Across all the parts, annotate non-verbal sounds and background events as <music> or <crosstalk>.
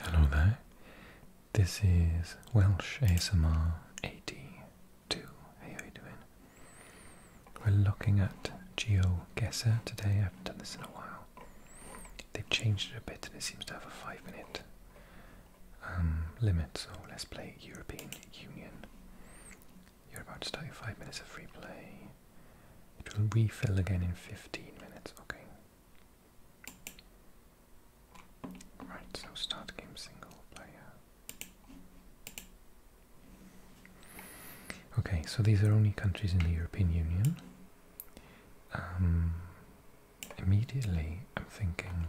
Hello there. This is Welsh ASMR 82. How are you doing? We're looking at GeoGuessr today. I haven't done this in a while. They've changed it a bit and it seems to have a five minute um, limit, so let's play European Union. You're about to start your five minutes of free play. It will refill again in 15 minutes, okay. Right, so start game single player. Okay, so these are only countries in the European Union. Um, immediately, I'm thinking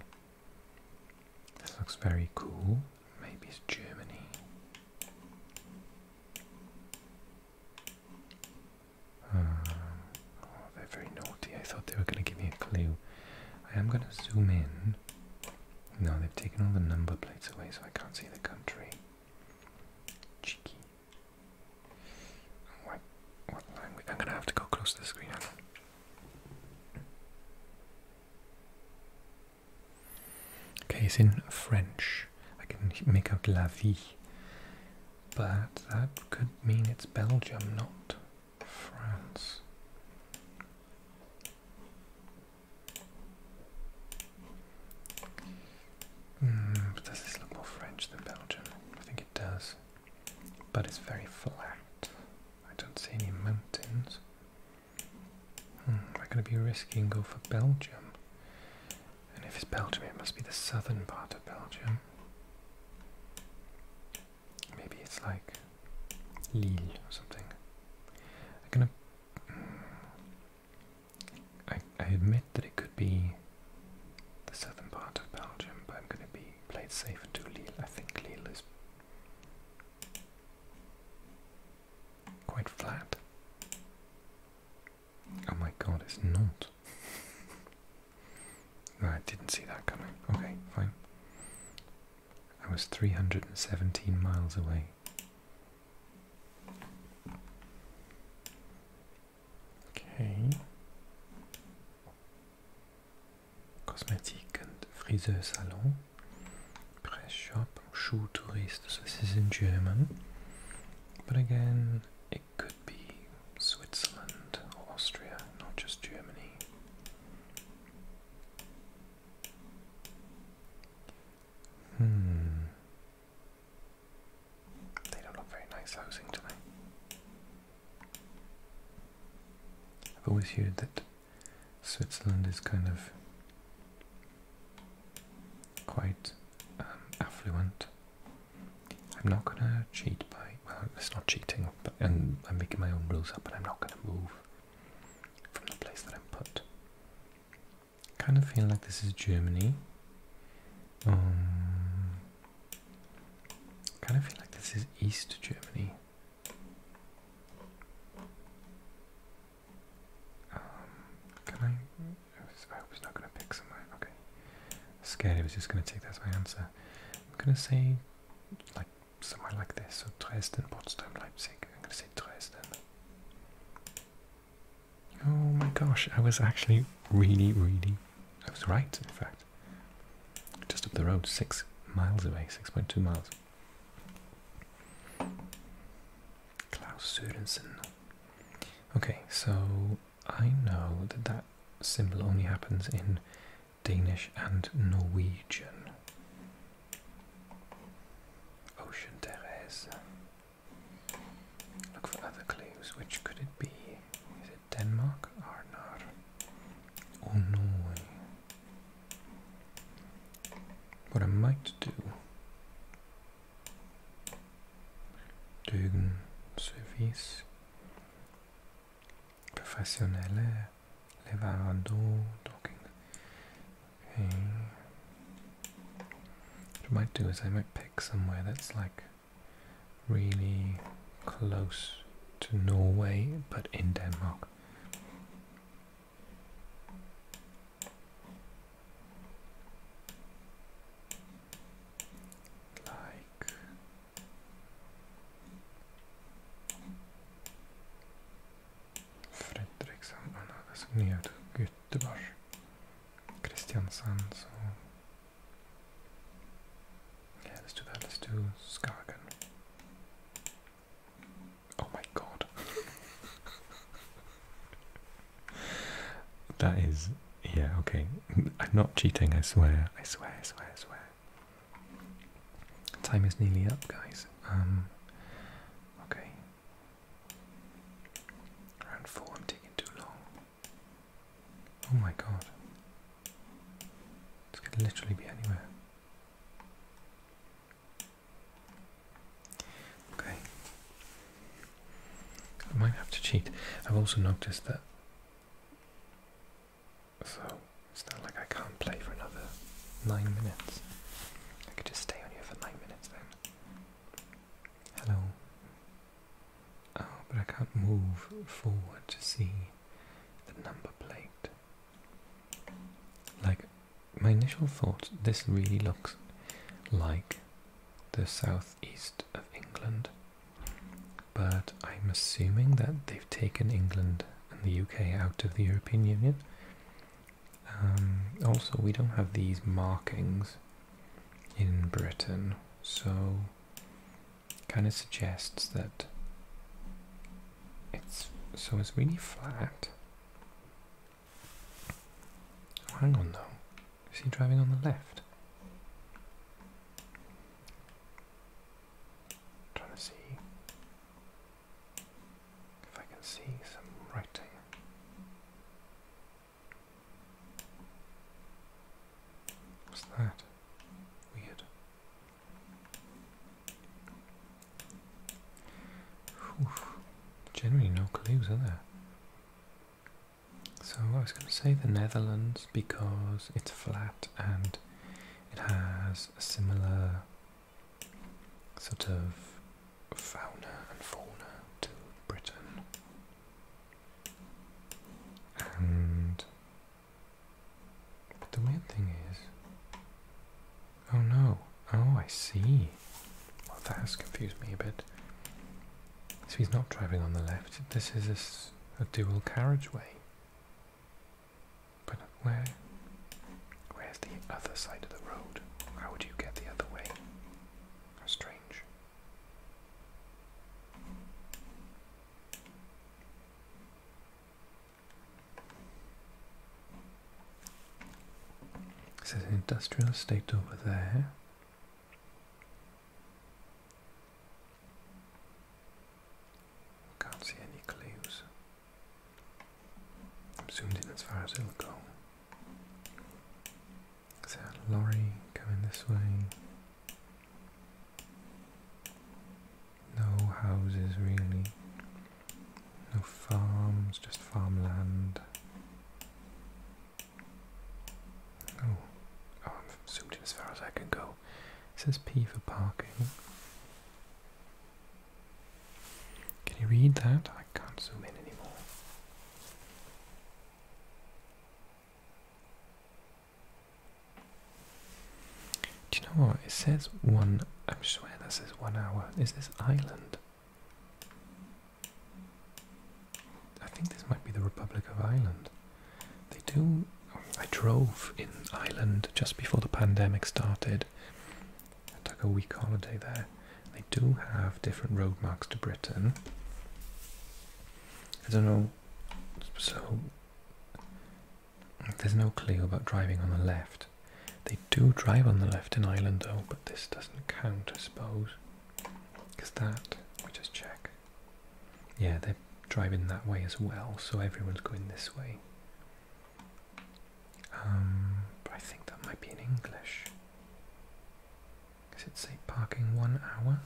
this looks very cool. Maybe it's Germany. Uh, oh, they're very naughty. I thought they were going to give me a clue. I am going to zoom in. No, they've taken all the number plates away, so I can't see the country. Cheeky. I'm going to have to go close to the screen. Okay, it's in French. I can make out la vie but that could mean it's Belgium, not France. Mm, does this look more French than Belgium? I think it does. But it's very flat. I don't see any mountains. Hmm, am I going to be risking and go for Belgium? And if it's Belgium, it must be the southern part of Belgium. Maybe it's like Lille or something. I'm gonna. Mm, I, I admit that it could be the southern part of Belgium, but I'm gonna be played safe and do Lille. I think Lille is quite flat. Oh my god, it's not. I didn't see that coming. Okay, fine. I was 317 miles away. Okay. Cosmetic and Friseur Salon. Press shop, Schuh Tourist. this is in German. But again, could be Switzerland or Austria, not just Germany. Hmm. They don't look very nice housing, do they? I've always heard that Switzerland is kind of quite um, affluent I'm not gonna cheat by well, it's not cheating, but and I'm making my own rules up, and I'm not gonna move from the place that I'm put. Kind of feel like this is Germany. Um, kind of feel like this is East Germany. Um, can I? I hope not going to pick somewhere. Okay. Scared he was just going to take that as my answer. I'm going to say, like, somewhere like this. So Dresden, Potsdam, Leipzig. I'm going to say Dresden. Oh my gosh, I was actually really, really. I was right, in fact. Just up the road, six miles away, 6.2 miles. Klaus Sørensen. Okay, so I know that that symbol only happens in Danish and Norwegian. Ocean Therese. Look for other clues. Which could it be? Is it Denmark? Arnar. Or Norway? What I might do dögen servis professionelle leverandör docking. Okay. What I might do is I might pick somewhere that's like really close to Norway but in Denmark like Fredrikshamn alltså ner till Göteborg, Kristiansand och helst du helst du Skagen. Oh my god. <laughs> that is, yeah, okay. I'm not cheating, I swear. I swear, I swear, I swear. Time is nearly up, guys. Um, okay. Round four, I'm taking too long. Oh my god. This could literally be anywhere. Okay. I might have to cheat. I've also noticed that. So it's not like I can't play for another nine minutes. I could just stay on here for nine minutes then. Hello. Oh, but I can't move forward to see the number plate. Like, my initial thought, this really looks like the South East of England. But I'm assuming that they've taken England and the UK out of the European Union. Um, also, we don't have these markings in Britain, so kind of suggests that it's so it's really flat. hang on though. Is he driving on the left? trying to see if I can see some writing. What's that? Weird. Generally no clues, are there? So I was going to say the Netherlands because it's flat and it has a similar sort of fauna and fauna to Britain. And but the weird thing is, oh no, oh I see. Well, that has confused me a bit. So he's not driving on the left. This is a, dual carriageway. But where? Where's the other side of the road? How would you get the other way? strange. This is an industrial estate over there. Can't see any clues. I'm zoomed in as far as it'll go. Is a lorry coming this way? No houses really. No farms, just farmland. Oh, oh, I'm zoomed in as far as I can go. It says P for parking. Can you read that? I can't zoom in anymore. Do you know what? It says one. I'm sure that says one hour. Is this island? I think this might be the Republic of Ireland. They do. I drove in Ireland just before the pandemic started. I took a week holiday there. They do have different road marks to Britain. I don't know. So there's no clue about driving on the left. They do drive on the left in Ireland though, but this doesn't count, I suppose. Because that, we just check. Yeah, they're driving that way as well, so everyone's going this way. Um, but I think that might be in English. Does it say parking one hour?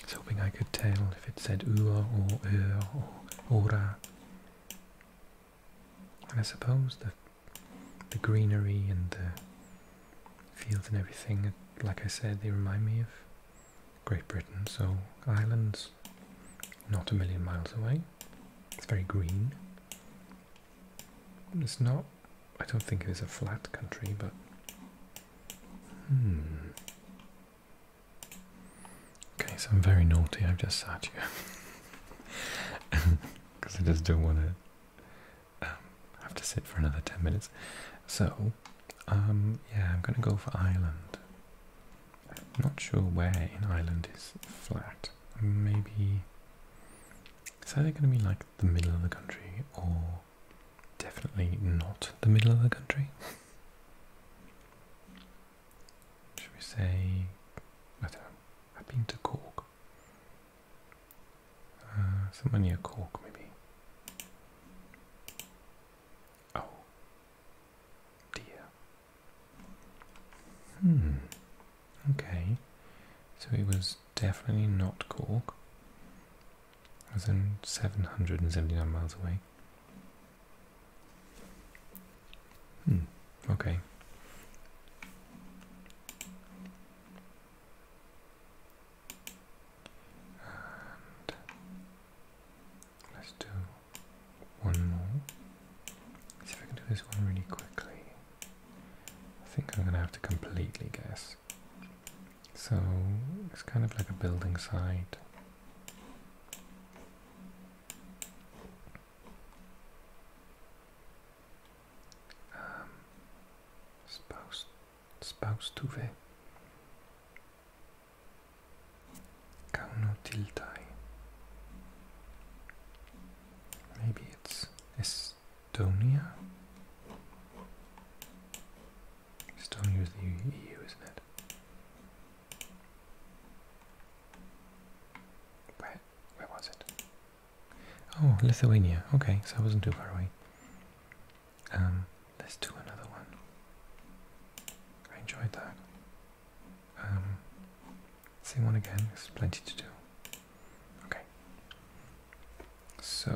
I was hoping I could tell if it said ua or er or ora. And I suppose that the greenery and the fields and everything, like I said, they remind me of Great Britain, so Ireland's not a million miles away. It's very green. It's not, I don't think it is a flat country, but. Hmm. Okay, so I'm very naughty. I've just sat here because <laughs> I just don't want to um, have to sit for another ten minutes. So, um, yeah, I'm gonna go for Ireland. I'm not sure where in Ireland is flat. Maybe is either gonna be like the middle of the country or definitely not the middle of the country. <laughs> Should we say, I don't know, I've been to Cork. Uh, somewhere near Cork, maybe. Oh, dear. Hmm. Okay. So it was definitely not Cork. It was in 779 miles away. Hmm. Okay. let's do one more. see if I can do this one really quickly. I think I'm gonna have to completely guess. So it's kind of like a building site. Um, spouse, spouse, Can't spouse till Kaunotiltai. Maybe it's Estonia. Estonia is the EU, isn't it? Where, where was it? Oh, Lithuania. Okay, so I wasn't too far away. Um, let's do another one. I enjoyed that. Um, same one again. There's plenty to do. Okay. So,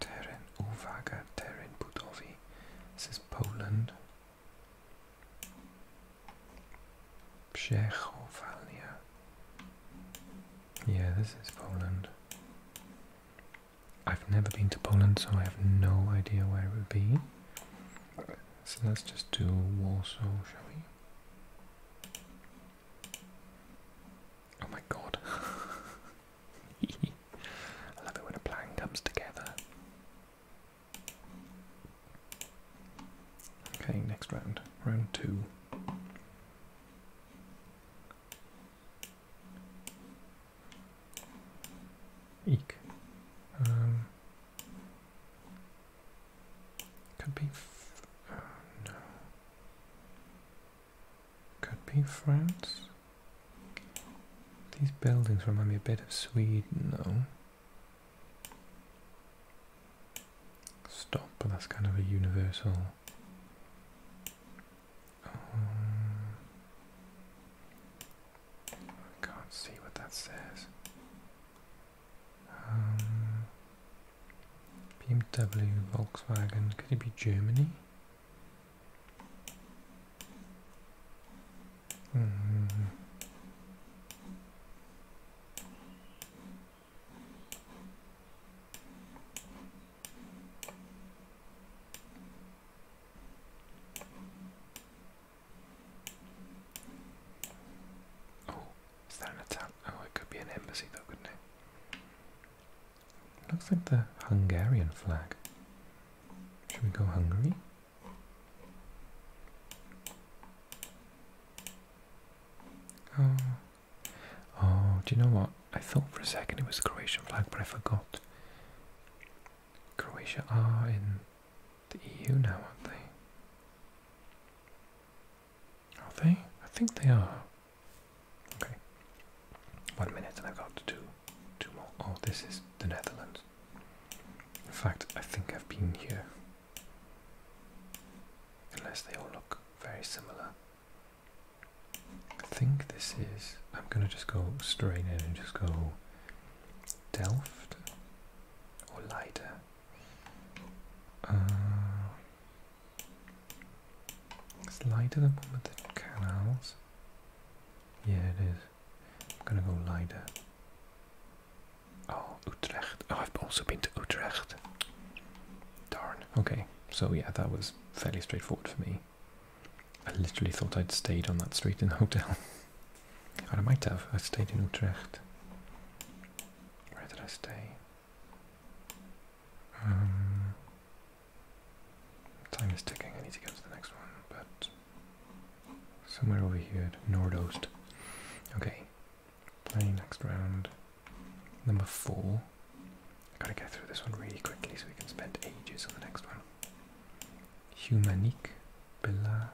Teren Uwaga, Teren Budovi. This is Poland. Czechovalia. Yeah, this is Poland. I've never been to Poland, so I have no idea where it would be. So let's just do Warsaw, shall we? Oh my god. <laughs> I love when a plan comes together. Okay, next round. Round two. Eek. Um, could be. Uh, no. Could be France. These buildings remind me a bit of Sweden, though. Stop, that's kind of a universal. Um, I can't see what that says. Um, BMW, Volkswagen, could it be Germany? Oh, is that an attack? Oh, it could be an embassy though, couldn't it? Looks like the Hungarian flag. Should we go Hungary? Oh. oh, do you know what? I thought for a second it was the Croatian flag, but I forgot. Croatia are in the EU now, aren't they? Are they? I think they are. Okay. One minute and I've got to do two more. Oh, this is the Netherlands. In fact, I think I've been here unless they all look very similar. I think this is, I'm going to just go straight in and just go Delft or Leiter. Uh, it's lighter than one with the canals. Yeah, it is. I'm gonna go lighter. Oh, Utrecht. Oh, I've also been to Utrecht. Darn. Okay, so yeah, that was fairly straightforward for me. I literally thought I'd stayed on that street in the hotel. <laughs> I might have. I stayed in Utrecht. Where did I stay? Um, time is ticking. I need to go to the next one, but Somewhere over here, at nordost. Okay, playing next round. Number four. I gotta get through this one really quickly so we can spend ages on the next one. Humanique Bella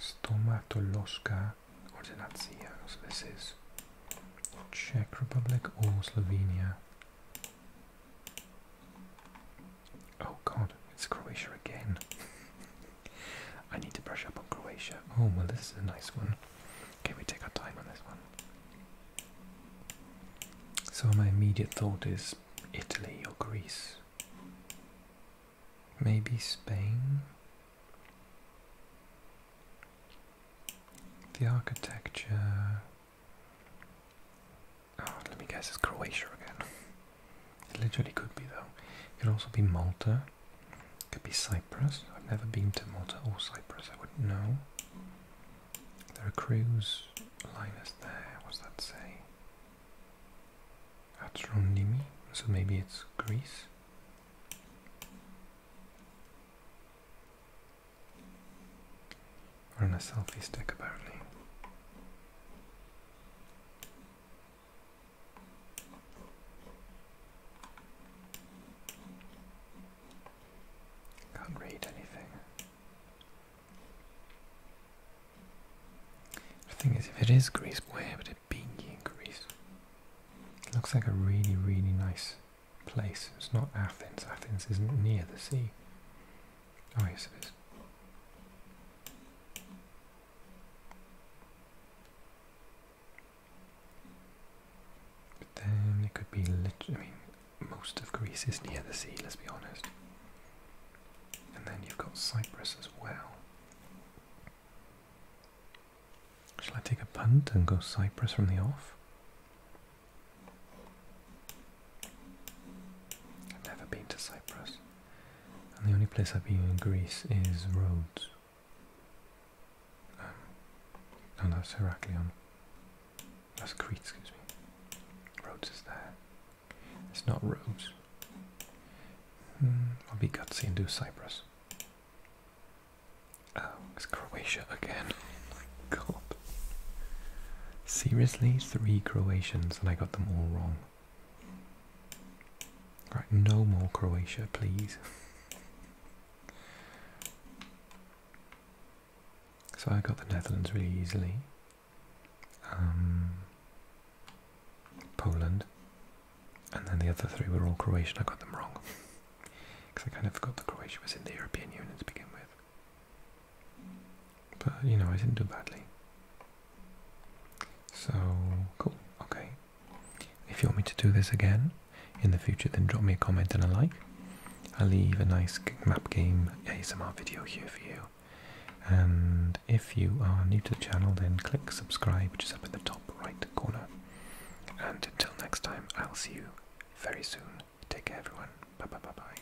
Stomatoloska Ordinatia. So this is Czech Republic or Slovenia. Oh god, it's Croatia again. <laughs> I need to brush up on Croatia. Oh, well, this is a nice one. Okay, we take our time on this one. So, my immediate thought is Italy or Greece. Maybe Spain? The architecture. Ah, let me guess, it's Croatia again. It literally could be though. It could also be Malta. It could be Cyprus. I've never been to Malta or Cyprus, I wouldn't know. There are cruise liners there. What's that say? Atronimi. So maybe it's Greece. We're on a selfie stick apparently. Can't read anything. The thing is, if it is Greece, where would it be in Greece? looks like a really, really nice place. It's not Athens. Athens isn't near the sea. Oh, yes, it is. then it could be I mean, most of Greece is near the sea, let's be honest. And then you've got Cyprus as well. Shall I take a punt and go Cyprus from the off? I've never been to Cyprus. And the only place I've been in Greece is Rhodes. Um, no, that's Heraklion. That's Crete, excuse me. Rhodes is there. It's not Rhodes. Mm, I'll be gutsy and do Cyprus. Oh, it's Croatia again. <laughs> Oh my god. Seriously, three Croatians and I got them all wrong. Right, no more Croatia, please. <laughs> so I got the Netherlands really easily. Um, Poland, and then the other three were all Croatian. I got them wrong because <laughs> I kind of forgot that Croatia was in the European Union to begin with. But, you know, I didn't do badly. So, cool, okay. If you want me to do this again in the future, then drop me a comment and a like. I'll leave a nice map game ASMR video here for you. And if you are new to the channel, then click subscribe, which is up in the top right corner. And until next time, I'll see you very soon. Take care, everyone. Bye bye bye bye.